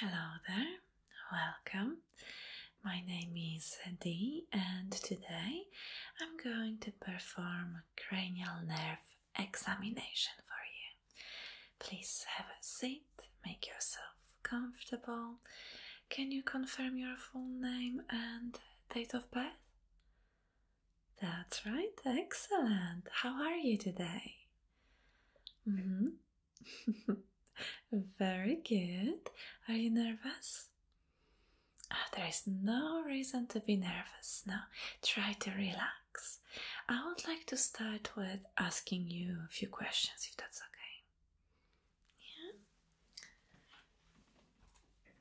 Hello there, welcome. My name is Dee, and today I'm going to perform a cranial nerve examination for you. Please have a seat, make yourself comfortable. Can you confirm your full name and date of birth? That's right, excellent. How are you today? Mm-hmm. Very good. Are you nervous? Ah, there is no reason to be nervous now. Try to relax. I would like to start with asking you a few questions if that's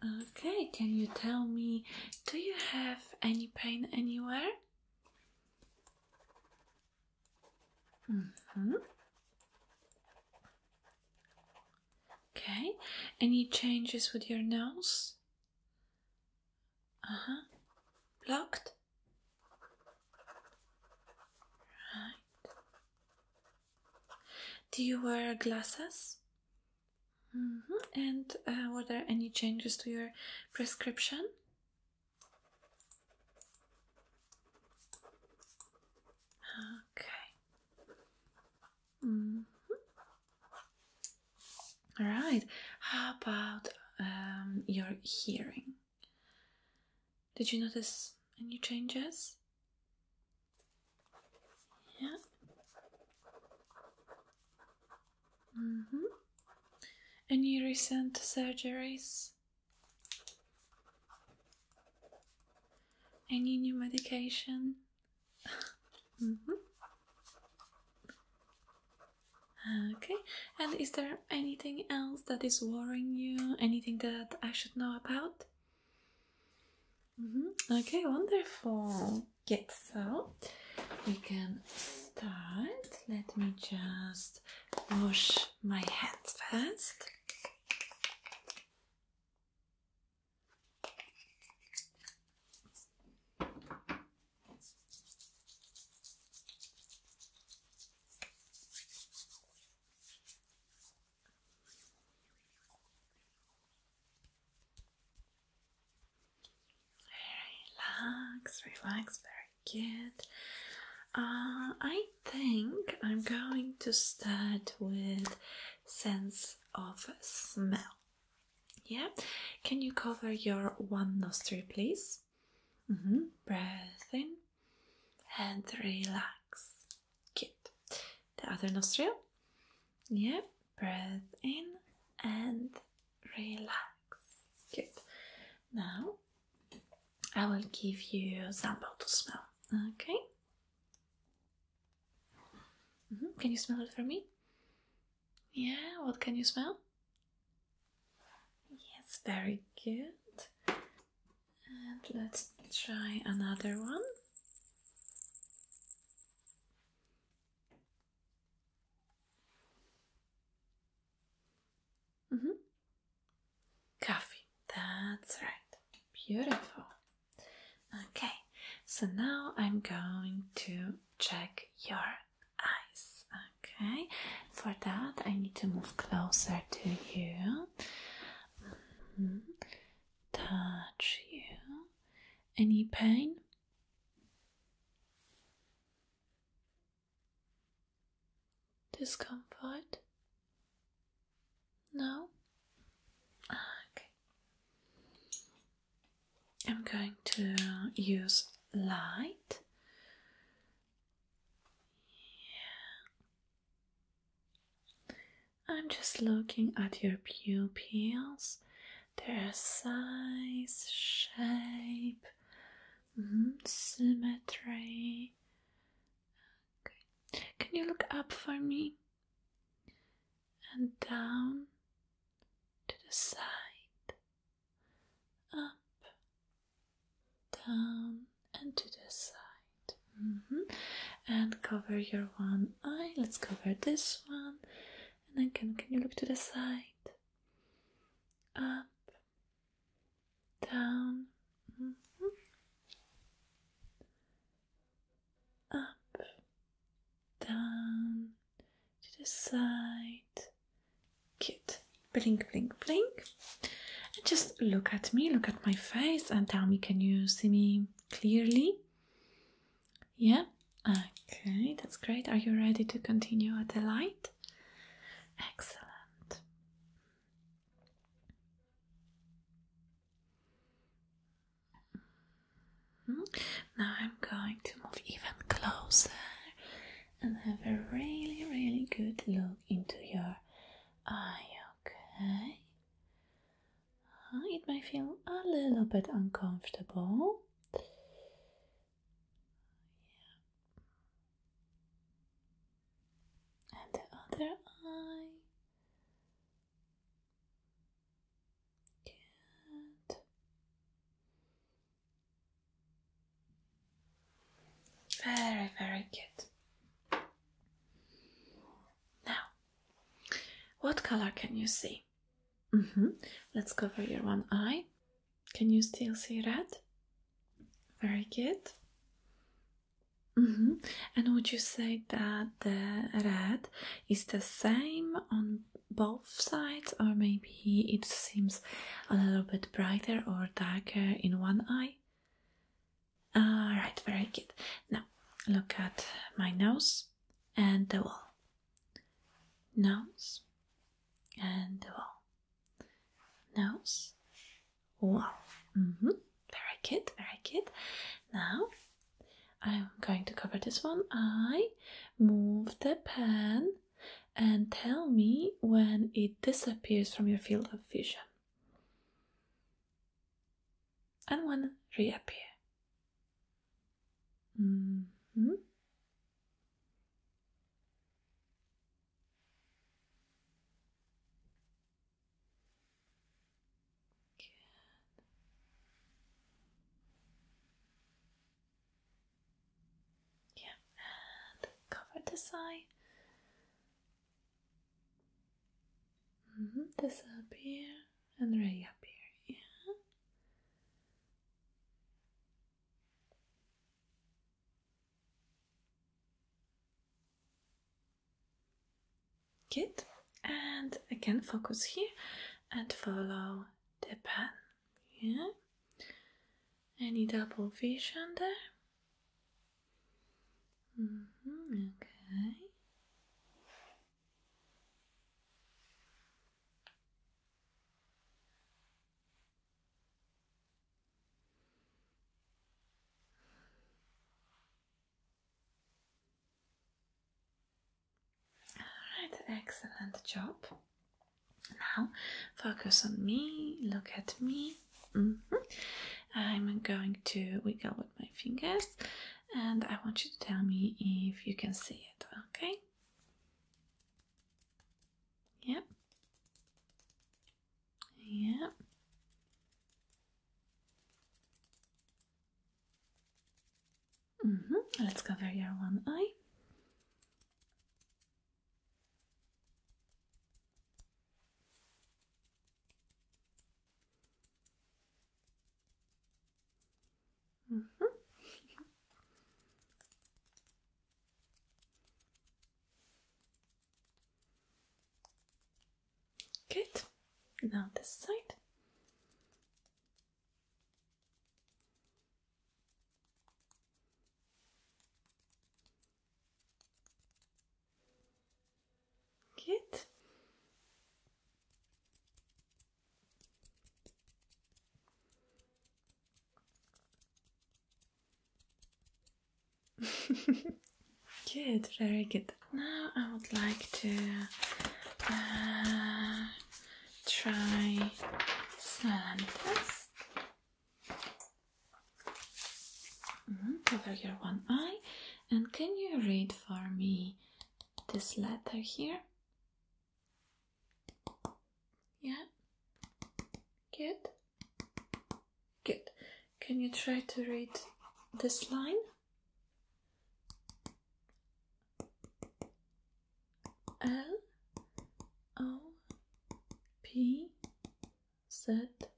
okay. Yeah? Okay, can you tell me do you have any pain anywhere? Mm-hmm. Okay, any changes with your nose? Uh huh. Blocked? Right. Do you wear glasses? Mm -hmm. And uh, were there any changes to your prescription? Okay. Mm -hmm. All right. How about um, your hearing? Did you notice any changes? Yeah. Mm -hmm. Any recent surgeries? Any new medication? mm -hmm. Okay, and is there anything else that is worrying you? Anything that I should know about? Mm -hmm. Okay, wonderful. Okay, so we can start. Let me just wash my hands first. Relax, relax, very good. Uh, I think I'm going to start with sense of smell. Yeah, can you cover your one nostril, please? Mm -hmm. Breath in and relax. Good. The other nostril. Yeah, breathe in and relax. Good. Now I will give you a sample to smell. Okay. Mm-hmm. Can you smell it for me? Yeah, what can you smell? Yes, very good. And let's try another one. Mm -hmm. Coffee, that's right. Beautiful. Okay, so now I'm going to check your eyes. Okay, for that I need to move closer to you, mm-hmm. touch you. Any pain? Discomfort? No? Ah, okay. I'm going to use light. Yeah. I'm just looking at your pupils, their size, shape, mm, symmetry. Okay, can you look up for me and down to the side, up, down, and to the side, mm-hmm. and cover your one one Let's cover this one. And then can can you look to the side? Up, down, mm-hmm. up, down, to the side. Cute. Blink, blink, blink. And just look at me, look at my face, and tell me can you see me clearly? Yeah, okay, that's great. Are you ready to continue at the light? Excellent. Hmm. Now I'm going to move even closer and have a really, really good look into your eye, okay? it may feel a little bit uncomfortable. And the other eye. Good. Very, very good. Now what color can you see? Mm-hmm. Let's cover your one eye. Can you still see red? Very good. Mm-hmm. And would you say that the red is the same on both sides, or maybe it seems a little bit brighter or darker in one eye? All right, very good. Now look at my nose and the wall. Nose and the wall. Nose, wall. Very good, very good. Now I'm going to cover this one. I move the pen and tell me when it disappears from your field of vision and one reappear. Mm-hmm. Yeah, and cover this eye Mm -hmm. Disappear and reappear. Yeah. Good. And again, focus here and follow the pen. Yeah. Any double vision there? Mm -hmm, okay. Alright, excellent job. Now focus on me, look at me. Mm-hmm. I'm going to wiggle with my fingers and I want you to tell me if you can see it, okay? Yep. Yep. Mm-hmm. Let's cover your one eye. Mm -hmm. Good. Now this side. Good. good, very good. Now I would like to uh, try silent test. Mm your one eye and can you read for me this letter here? Yeah? Good? Good. Can you try to read this line? L O P Set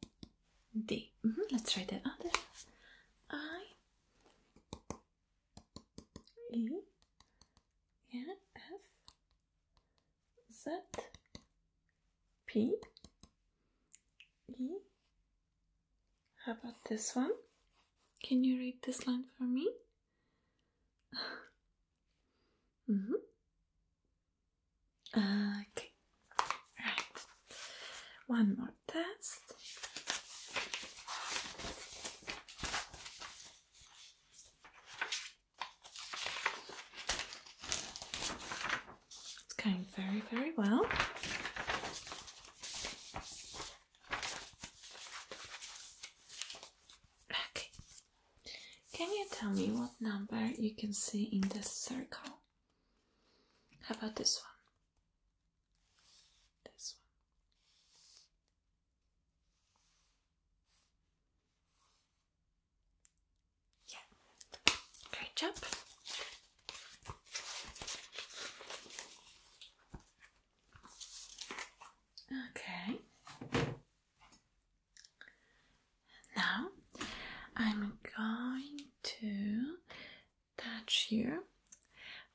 D. Mm-hmm, let's try the other. I E yeah, F Z P E. How about this one? Can you read this line for me? -hmm. Okay, right. One more test. It's going very, very well. Okay, can you tell me what number you can see in this circle? How about this one? This one. Yeah. Great job. Okay. Now I'm going to touch you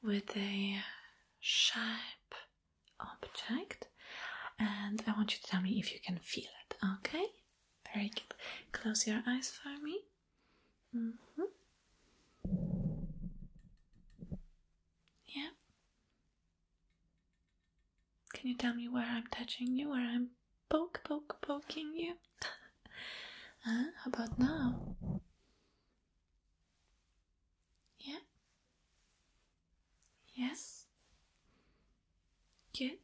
with a sharp object and I want you to tell me if you can feel it, okay? Very good. Close your eyes for me. Mm -hmm. Yeah. Can you tell me where I'm touching you, where I'm poke, poke, poking you. huh? Ah, how about now? Yeah? Yes? Good.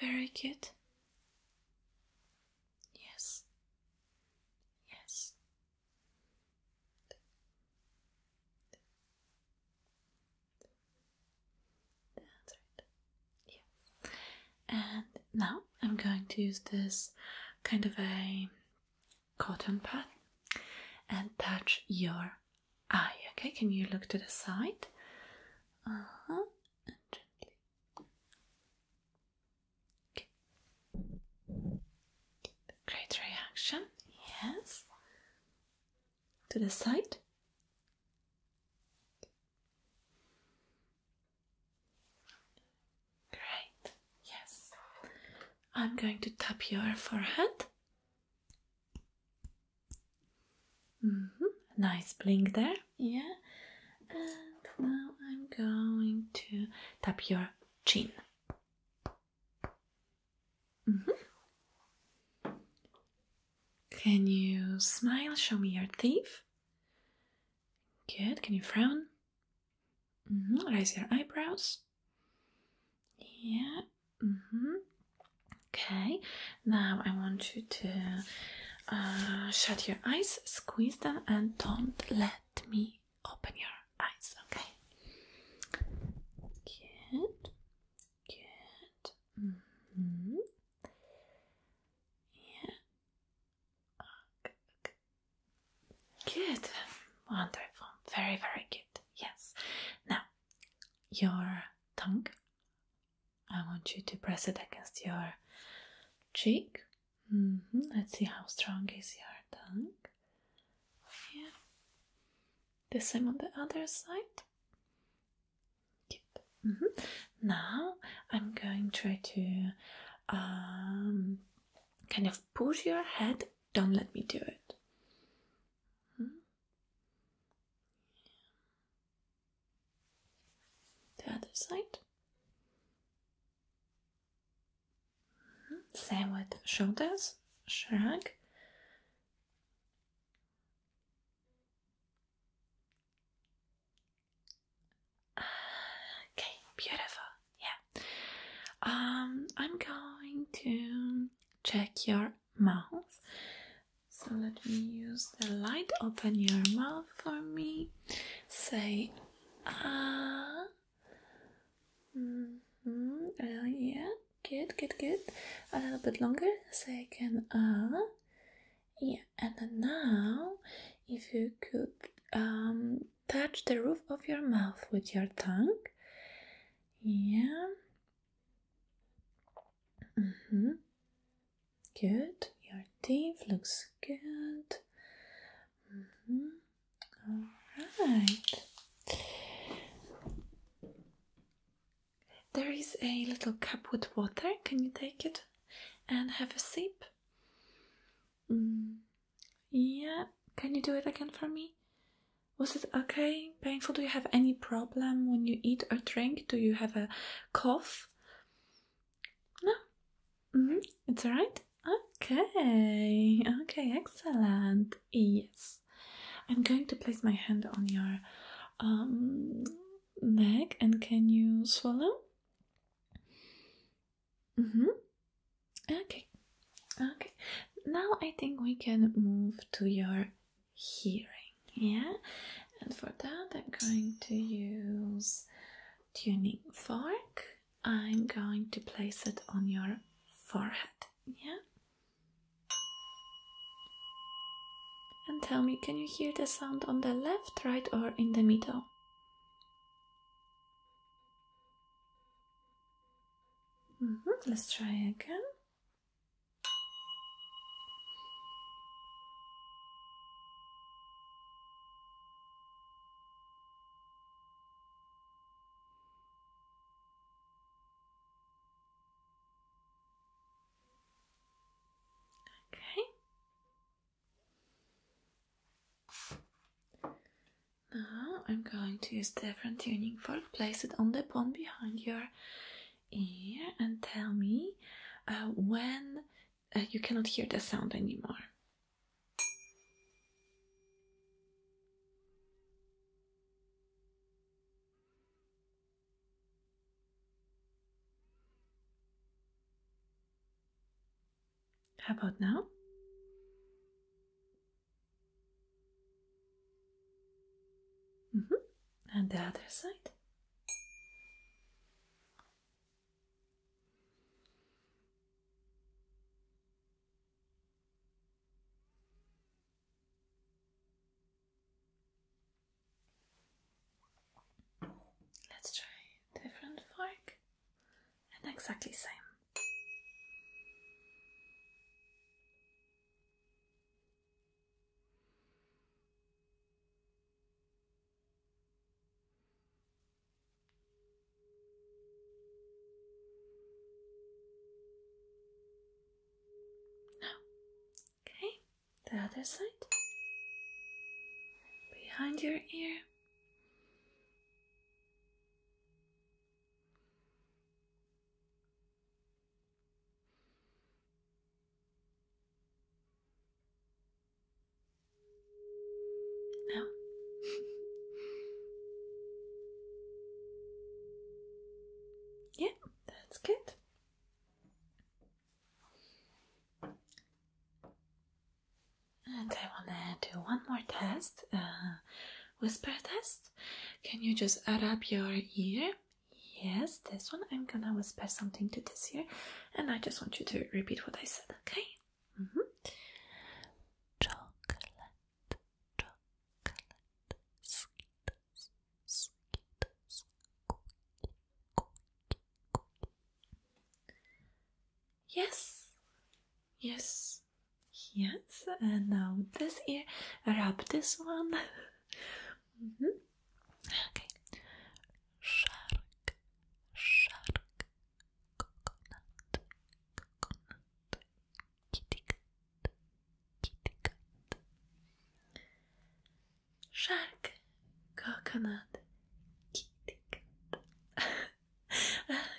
Very good. Yes. Yes. That's And now I'm going to use this kind of a cotton pad and touch your eye. Okay, can you look to the side? Uh gently. Great reaction. Yes to the side. Great, yes. I'm going to tap your forehead. Mm-hmm. Nice blink there, yeah. And now I'm going to tap your chin. Mm-hmm. Can you smile? Show me your teeth. Good. Can you frown? Mm Raise your eyebrows. Yeah. Mm -hmm. Okay. Now I want you to uh, shut your eyes, squeeze them, and don't let me open your eyes. Okay. Good good. Mm -hmm. Yeah. Good. Wonderful. Very, very good. Yes. Now, your tongue. I want you to press it against your cheek. Mm-hmm. Let's see how strong is your tongue. Yeah. The same on the other side. Good. Mm-hmm. Now I'm going to try to um, kind of push your head. Don't let me do it. Mm-hmm. The other side. Mm-hmm. Same with shoulders. Shrug okay, beautiful. Yeah. Um, I'm going to check your mouth. So let me use the light. Open your mouth for me. Say ah. -hmm, yeah good, good, good. A little bit longer second. I uh, yeah. And now, if you could um, touch the roof of your mouth with your tongue, yeah. Mm hmm. Good. Your teeth looks good. -hmm. All right. There is a little cup with water. Can you take it and have a sip? Mm. Yeah, can you do it again for me? Was it okay? Painful? Do you have any problem when you eat or drink? Do you have a cough? No? Mm-hmm. It's alright? Okay, okay, excellent. Yes. I'm going to place my hand on your um, neck and can you swallow? Mm-hmm. Okay. Okay. Now I think we can move to your hearing. Yeah. And for that, I'm going to use tuning fork. I'm going to place it on your forehead. Yeah. And tell me, can you hear the sound on the left, right, or in the middle? Mm-hmm, let's try again. Okay. Now I'm going to use different tuning fork. Place it on the bone behind your ear and tell me uh, when uh, you cannot hear the sound anymore. How about now? Mm-hmm. And the other side. Let's try different fork and exactly same. Now, okay, the other side behind your ear. Now, Yeah, that's good. And I want to do one more test, uh, whisper test. Can you just add up your ear? Yes, this one. I'm gonna whisper something to this ear, and I just want you to repeat what I said, okay? Mm-hmm. Chocolate. Yes, yes, yes. And now uh, this ear, rub this one. Mm-hmm. Okay. Shark, shark, coconut, coconut, kitty cat, kitty cat. Shark, coconut, kitty cat.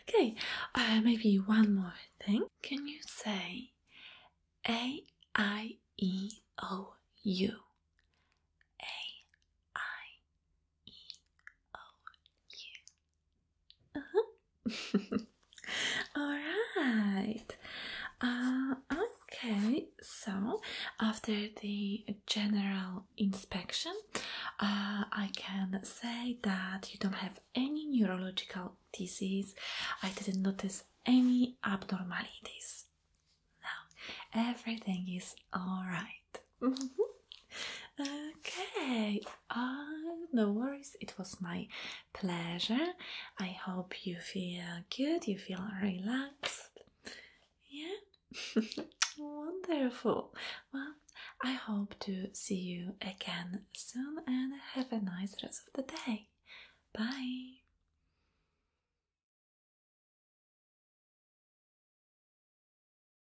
okay, uh, maybe one more thing. Can you say A I E O U? A I E O U. Uh-huh. right. Uh, okay, so after the general inspection, uh, I can say that you don't have any neurological disease. I didn't notice any abnormalities. No, everything is all right. Okay, uh, no worries, it was my pleasure. I hope you feel good, you feel relaxed. Yeah, wonderful. Well, I hope to see you again soon and have a nice rest of the day. Bye.